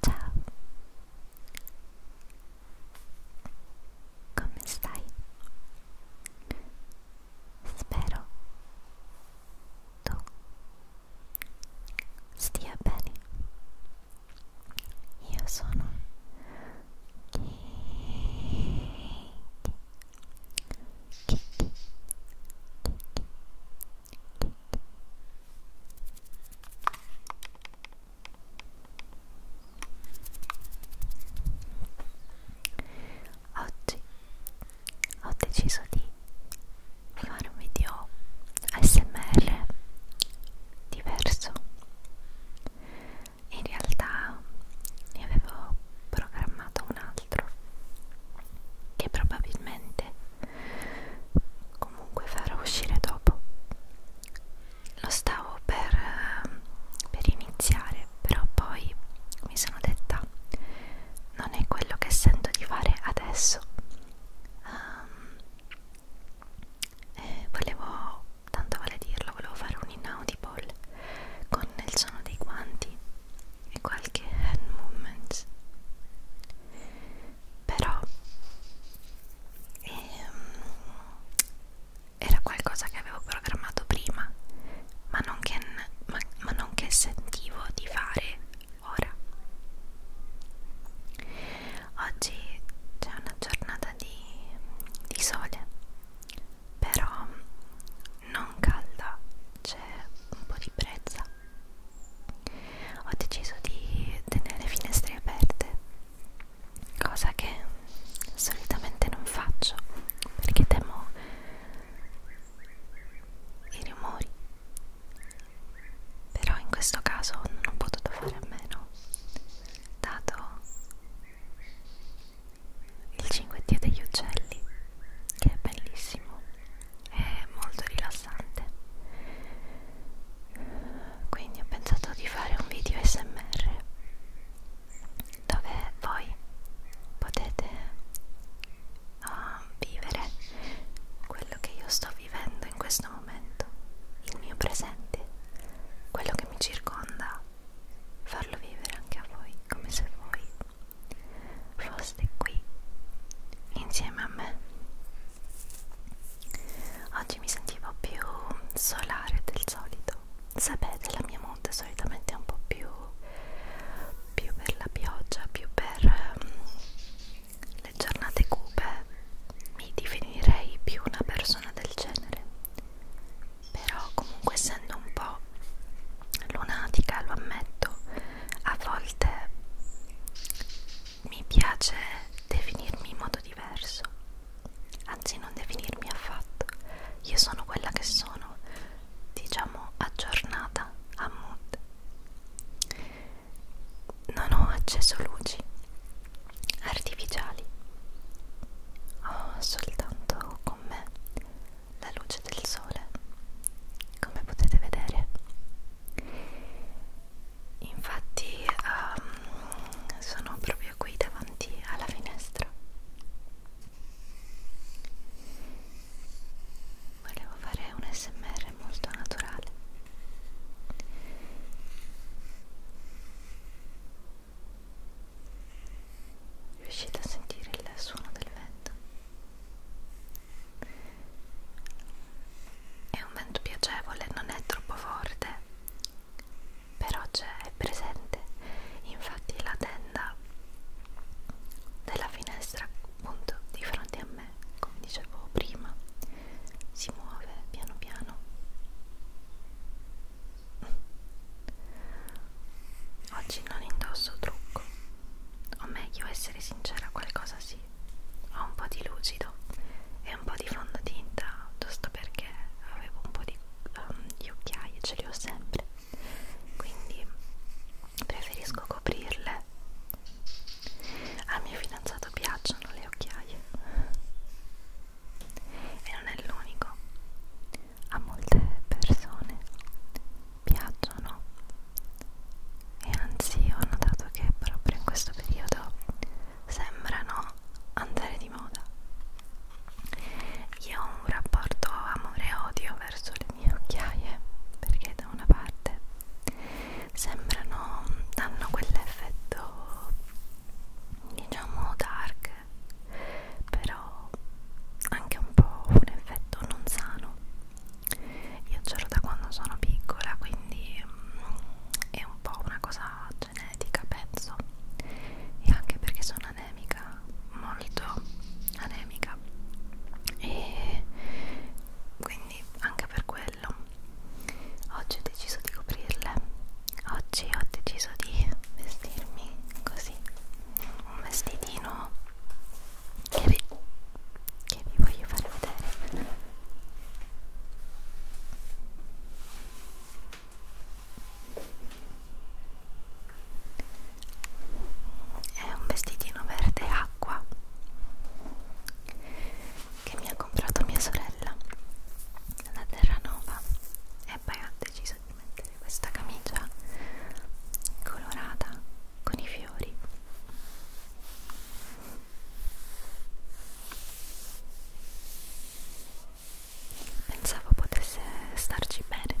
Ciao, come stai? Spero tu stia bene. Io sono Kitty Kitty Kitty Oggi ho deciso di fare un video ASMR diverso in realtà ne avevo programmato un altro che probabilmente comunque farò uscire dopo lo stavo per, per iniziare però poi mi sono detta non è quello che sento di fare adesso um, eh, volevo, tanto vale dirlo, volevo fare un inaudible con il suono dei guanti e qualche hand movement però ehm, era qualcosa che avevo programmato prima ma non che, ma, ma non che sentivo di fare ora oggi c'è una giornata di, di sole però non calda c'è un po' di brezza ho deciso di tenere le finestre aperte cosa che solitamente non faccio perché temo i rumori però in questo caso non ho potuto fare a meno dato il cinguettio degli uccelli che è bellissimo è molto rilassante quindi ho pensato di fare un video smr dove voi potete uh, vivere quello che io sto vivendo in questo questo momento, il mio presente, quello che mi circonda, farlo vivere anche a voi come se voi foste qui insieme a me. Oggi mi sentivo più solare del solito. Sapete, la mia mood solitamente è un po' più più per la pioggia, più per um, le giornate cupe mi definirei più una persona del genere però comunque essendo un po' lunatica lo ammetto a volte mi piace definirmi in modo diverso anzi non definirmi affatto io sono quella che sono diciamo aggiornata a mood non ho acceso luci artificiali ho soltanto con me la luce del sole come potete vedere infatti um, sono proprio qui davanti alla finestra volevo fare un smr molto naturale Riuscite a sentire il suono del vento? È un vento piacevole, non è troppo forte, però c'è, è presente. Infatti la tenda della finestra appunto di fronte a me, come dicevo prima, si muove piano piano. Oggi non indosso trucco, o meglio essere sincera, qualcosa sì. Ho un po' di lucido e un po' di fondotinta, giusto perché avevo un po' di, um, di occhiaie, ce li ho sempre. Quindi preferisco coprirle al mio fidanzato piacciono le occhiaie e non è l'unico. A molte persone piacciono e anzi ho notato che proprio in questo periodo sembrano andare di moda. Io ho un rapporto amore-odio verso le mie occhiaie perché da una parte sembrano danno quell'effetto diciamo dark però anche un po' un effetto non sano io c'ero da quando sono piccola quindi mm, è un po' una cosa genetica penso e anche perché sono anemica molto anemica e quindi anche per questo quello oggi ho deciso di coprirle oggi ho deciso di vestirmi così un vestitino che vi, che vi voglio far vedere è un vestitino verde acqua che mi ha comprato mia sorella da Terranova e poi ho deciso di mettere questa camicia colorata con i fiori pensavo potesse starci bene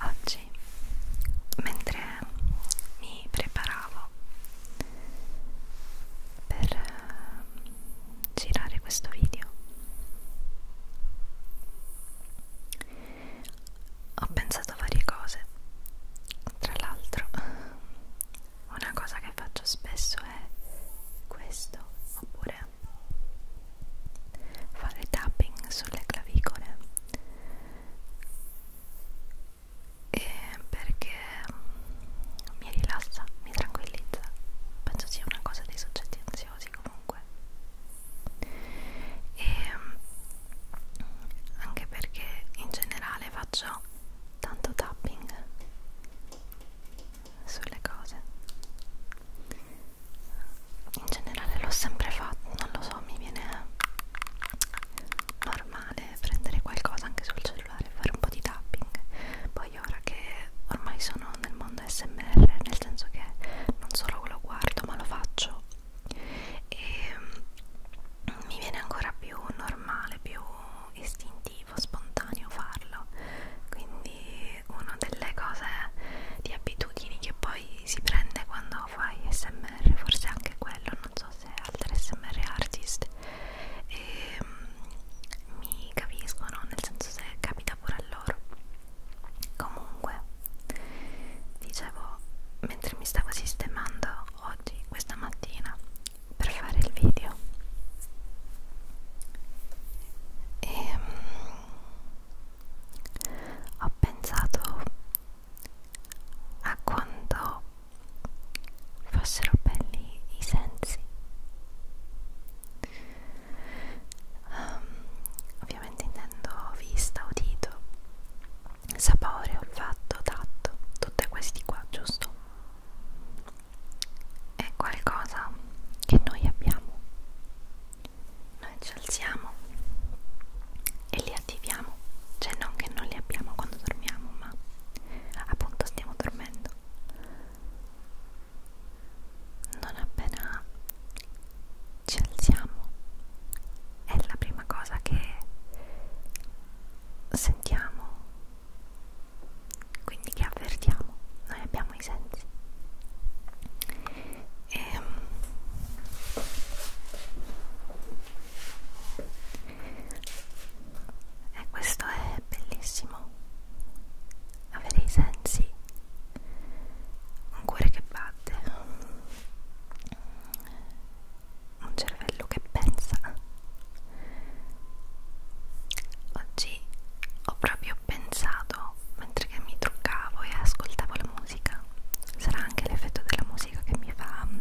Oggi, mentre mi preparavo per eh, girare questo video, ho pensato a varie cose. Tra l'altro, una cosa che faccio spesso è questo, oppure fare tapping sulle clavicole e perché mi rilassa, mi tranquillizza penso sia una cosa dei soggetti ansiosi comunque e anche perché in generale faccio tanto tapping sulle cose in generale l'ho sempre fatto, non lo so, mi viene normale prendere qualcosa anche sul cellulare e fare un po' di tapping. Poi ora che ormai sono nel mondo SMR, nel senso che non solo lo guardo ma lo faccio e ehm, mi viene ancora più normale, più istintivo, spontaneo farlo. Quindi è una delle cose di abitudini che poi si prende quando fai smr, forse anche quello, non so se altre smr artist e, um, mi capiscono, nel senso se capita pure a loro. Comunque, dicevo, mentre mi stavo sistemando oggi, questa mattina, per fare il video, e, um, ho pensato a quanto fossero belli i sensi um, ovviamente intendo vista, udito sapore, olfatto, tatto tutti questi qua, giusto? è qualcosa che noi abbiamo noi ci alziamo e li attiviamo cioè non che non li abbiamo quando dormiamo ma appunto stiamo dormendo non appena ci alziamo è la prima cosa che sentiamo quindi che avvertiamo noi abbiamo i sensi e, ehm, e questo è bellissimo avere i sensi un cuore che batte un cervello che pensa oggi ho proprio pensato suono mentre che mi truccavo e ascoltavo la musica sarà anche l'effetto della musica che mi fa mm,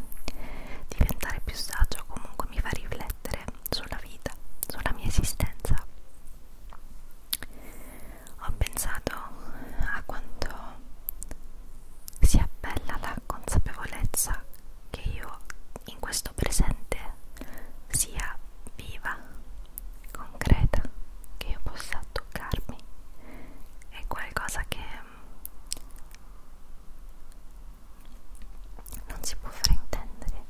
diventare più saggio comunque mi fa riflettere sulla vita sulla mia esistenza ho pensato a quanto sia bella la consapevolezza che io in questo presente sia viva concreta che io possa toccarmi è qualcosa che mm, non si può fraintendere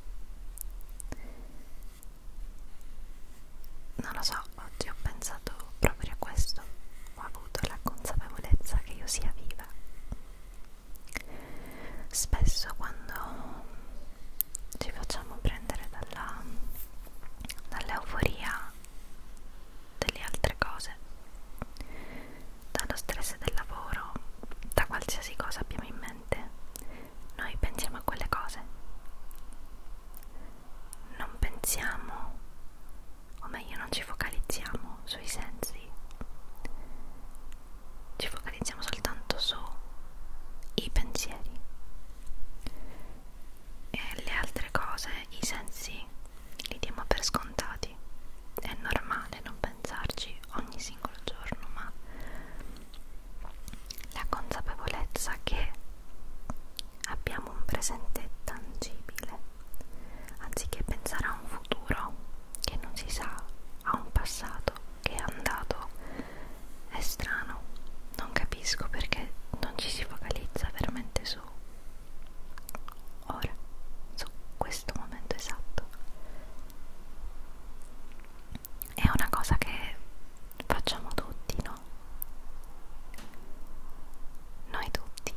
non lo so oggi ho pensato proprio a questo ho avuto la consapevolezza che io sia viva spesso quando ci facciamo prendere dalla, dall'euforia delle altre cose, dallo stress del lavoro, da qualsiasi cosa abbiamo in mente, noi pensiamo a quelle cose, non pensiamo, o meglio non ci focalizziamo sui sensi, ci focalizziamo pensiamo soltanto sui pensieri e le altre cose, i sensi, li diamo per scontati. È normale non pensarci ogni singolo giorno, ma la consapevolezza che abbiamo un presente tangibile, anziché pensare a un futuro che non si sa, a un passato che è andato è strano non capisco perché non ci si focalizza veramente su ora su questo momento esatto è una cosa che facciamo tutti no noi tutti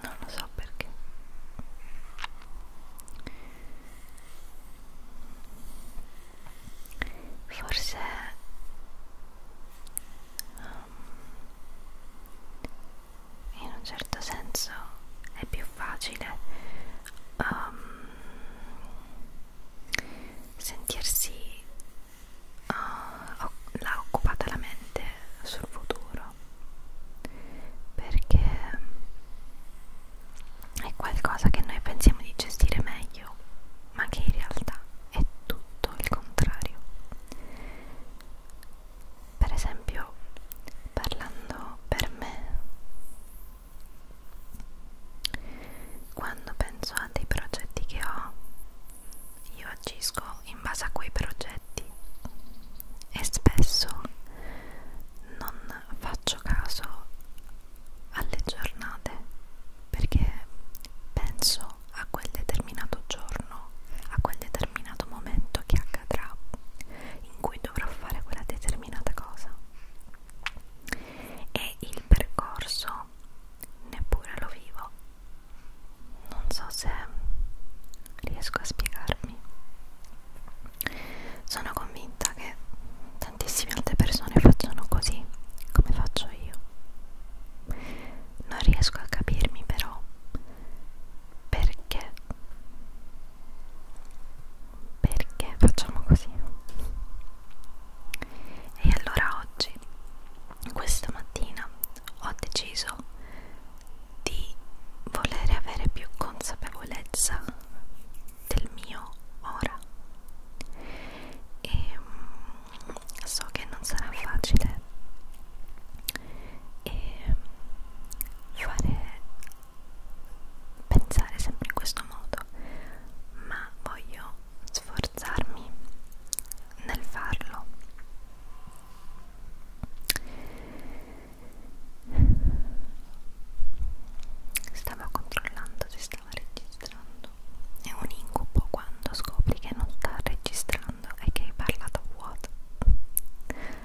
non lo so perché forse um, in un certo senso è più facile um, sentirsi uh, la occupata la mente sul futuro perché è qualcosa che noi pensiamo di gestire meglio, ma che in realtà è tutto il contrario. Per esempio, parlando per me, quando penso a dei progetti che ho, io agisco in base a quei progetti e spesso non faccio caso alle giornate perché penso a quel determinato giorno, a quel determinato momento che accadrà in cui dovrò fare quella determinata cosa e il percorso neppure lo vivo. Non so se riesco a spiegarmi. Sono convinta che tantissime altre persone facciano così come faccio io non riesco a capirmi però perché perché facciamo così e allora oggi questa mattina ho deciso di volere avere più consapevolezza del mio ora e mm, so che non sarà facile e fare pensare sempre in questo modo ma voglio sforzarmi nel farlo Stavo controllando se stava registrando. È un incubo quando scopri che non sta registrando e che hai parlato a vuoto.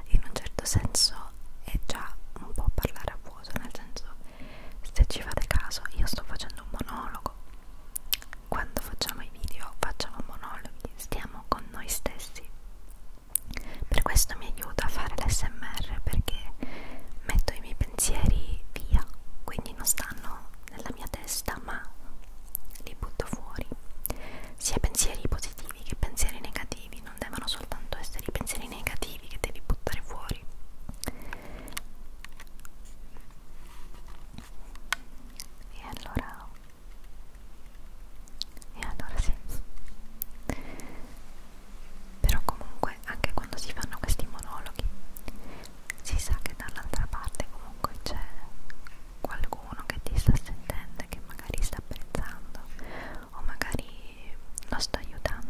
In un certo senso è già un po' parlare a vuoto, nel senso se ci fate caso io sto facendo un monologo. Quando facciamo i video facciamo monologhi, stiamo con noi stessi per questo mi aiuta a fare l'SMR perché metto i miei pensieri via, quindi non stanno nella mia testa ma li butto fuori. Sia pensieri positivi che pensieri negativi, non devono soltanto essere i pensieri negativi che devi buttare fuori. E allora... E allora sì però comunque anche quando si fanno questi monologhi si sa che dall'altra parte comunque c'è qualcuno che ti sta sentendo che magari sta apprezzando o magari lo sta aiutando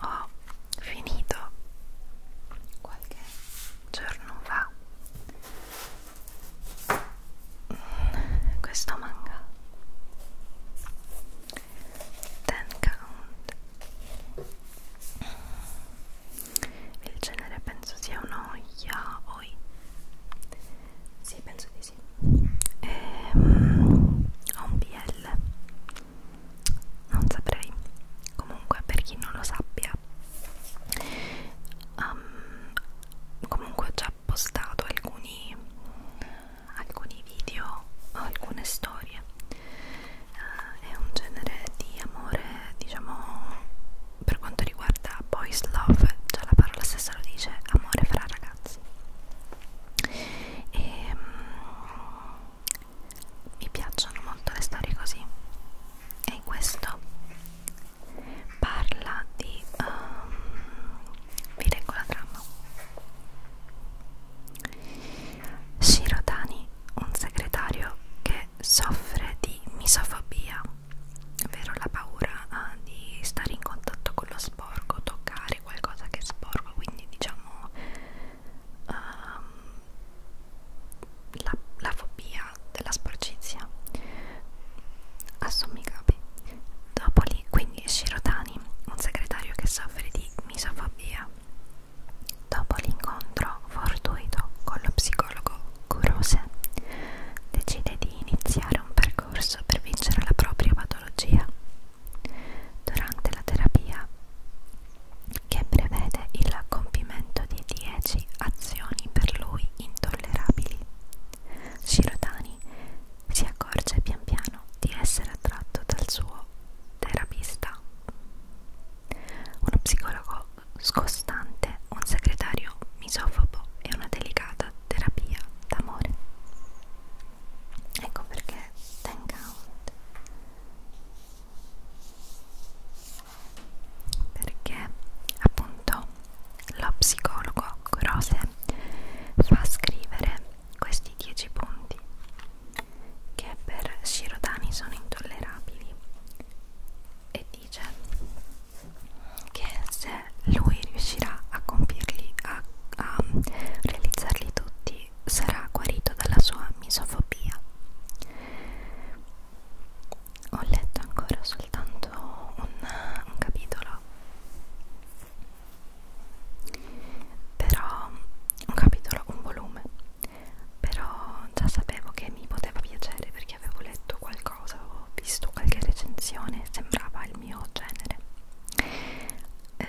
ho finito qualche giorno fa questo manga Ten Count il genere penso sia uno yaoi sì penso di sì e, um, ho un BL non saprei comunque per chi non lo sappia um, comunque ho già postato alcuni alcuni video o alcune storie uh, è un genere di amore diciamo per quanto riguarda boys love già la parola stessa lo dice amore fra ragazzi ragazzi e um, mi piacciono molto le storie così e questo parla di um, vi leggo la trama Shiro Tani un segretario che soffre di misofobia ovvero la paura ah, di stare in contatto con lo sporco toccare qualcosa che è sporco quindi diciamo diciamo um, la, la fobia della sporcizia assommigabi dopo lì quindi Shirotani un segretario che soffre di misofobia dopo l'incontro fortuito con lo psicologo Kurose decide di iniziare un percorso per vincere la propria patologia durante la terapia che prevede il compimento di 10 azioni per lui intollerabili. Shirotani si accorge pian piano di essere attratto dal suo terapista, uno psicologo scostante, un segretario misofobo e una delicata terapia d'amore ecco perché ten count perché appunto lo psicologo Grose fa scrivere questi 10 punti che per Shirodani sono intollerabili e dice che se lui riuscirà a compirli, a, a realizzarli tutti sarà guarito dalla sua misofobia. Ho letto ancora soltanto un, un capitolo, però un capitolo, un volume, però già sapevo che mi poteva piacere perché avevo letto qualcosa, avevo visto qualche recensione, sembrava il mio genere eh,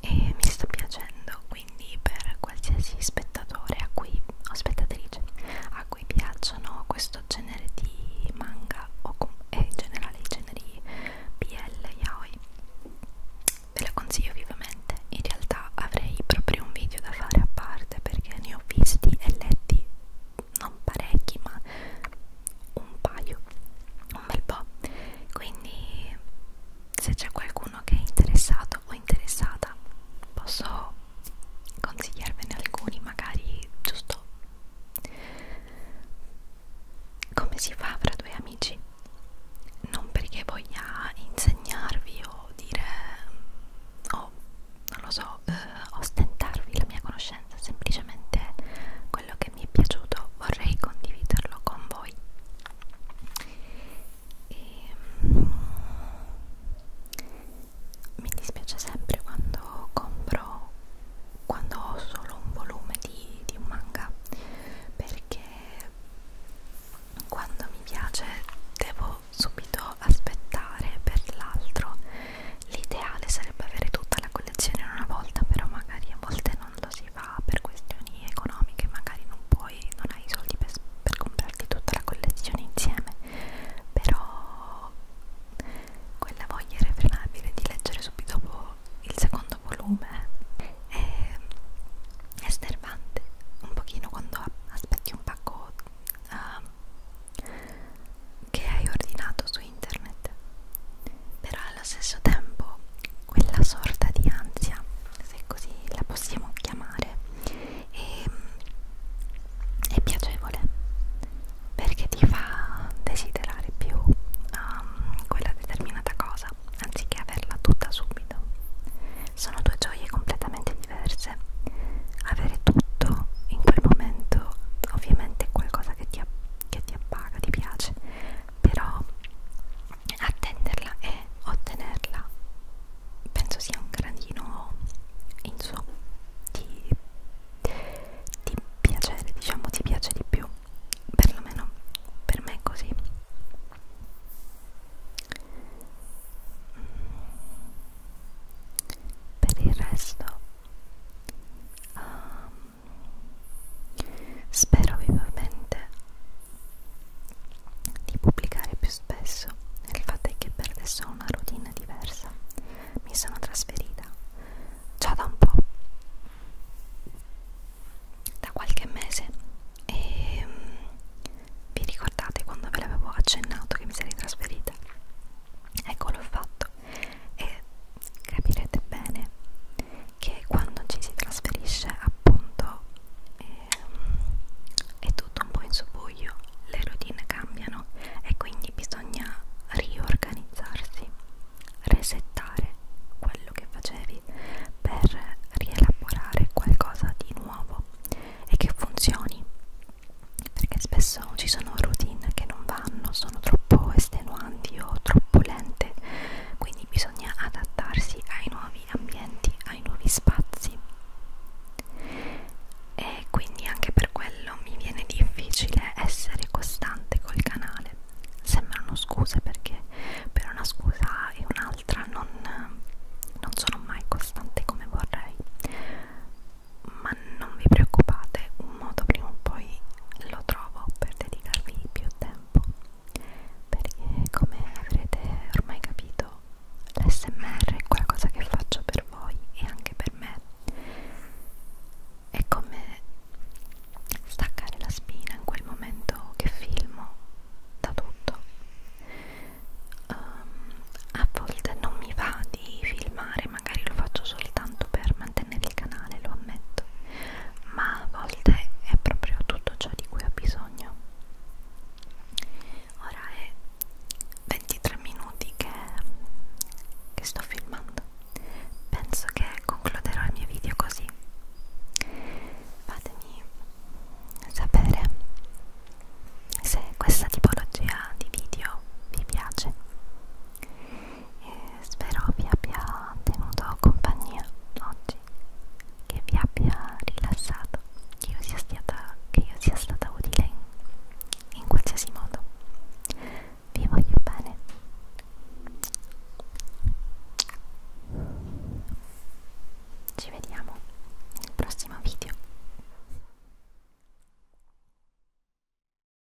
e mi sta piacendo quindi per qualsiasi spettatore a cui, o spettatrice a cui piacciono questo genere di manga o e eh, in generale i generi BL yaoi ve lo consiglio vivamente in realtà avrei proprio un video da fare a parte perché ne ho visti e letti non parecchi ma un paio, un bel po'. Quindi se c'è qualcuno che è interessato o interessata posso consigliarvene alcuni, magari giusto come si fa fra due amici. Non perché voglia insegnarvi o dire o oh, non lo so, eh, ostentarvi la mia conoscenza conoscenza, semplicemente quello che mi è piaciuto vorrei condividerlo con voi. E, mm, mi dispiace sempre quando compro, quando ho solo un volume di, di un manga, perché quando mi piace devo subito aspettare per l'altro L'ideale sarebbe avere tutta la collezione in una volta, però magari a volte non lo si fa per questioni economiche, magari non puoi, non hai i soldi per, per comprarti tutta la collezione insieme, però quella voglia irrefrenabile di leggere subito dopo il secondo volume è, è snervante un pochino quando aspetti un pacco uh, che hai ordinato su internet però allo stesso tempo quella sorta di ansia se così la possiamo chiamare è, ehm, è piacevole perché ti fa desiderare più um, quella determinata cosa anziché averla tutta subito sono due gioie completamente diverse avere tutto in quel momento ovviamente è qualcosa che ti, che ti appaga, ti piace, però attenderla e ottenerla penso sia un gradino in su di, di piacere, diciamo ti piace di più, perlomeno per me è così. Mm. Per il resto um, Spero vivamente di pubblicare più spesso. Il fatto è che per adesso ho una routine diversa. Mi sono trasferita già da un po', da qualche mese, e mm, vi ricordate quando ve l'avevo accennato che mi sarei trasferita? Ecco, l'ho fatto e capirete bene che quando ci si trasferisce appunto eh, è tutto un po' in subbuglio, le routine cambiano e quindi bisogna riorganizzarsi, resettare quello che facevi per rielaborare qualcosa di nuovo e che funzioni perché spesso so, ci sono routine che non vanno, sono troppo estenuanti o troppo lente, quindi bisogna adattarsi ai nuovi ambienti, ai nuovi spazi. E quindi anche per quello mi viene difficile essere costante col canale. Sembrano scuse perché per una scusa e un'altra non, non sono mai costante come vorrei ma non vi preoccupate, un modo prima o poi lo trovo per dedicarvi più tempo perché come avrete ormai capito l'SMR è qualcosa che faccio per voi e anche per me è come staccare la spina in quel momento che filmo da tutto um, a volte non mi va di filmare magari lo faccio soltanto per mantenere il canale, lo ammetto, ma a volte è proprio tutto ciò di cui ho bisogno. Ora è 23 minuti che, che sto filmando, penso che concluderò il mio video così. Fatemi sapere se questa tipologia di video vi piace e spero vi abbia tenuto compagnia oggi, che vi abbia rilassato, che io sia stata, che io sia stata utile in, in qualsiasi modo. Vi voglio bene. Ci vediamo nel prossimo video.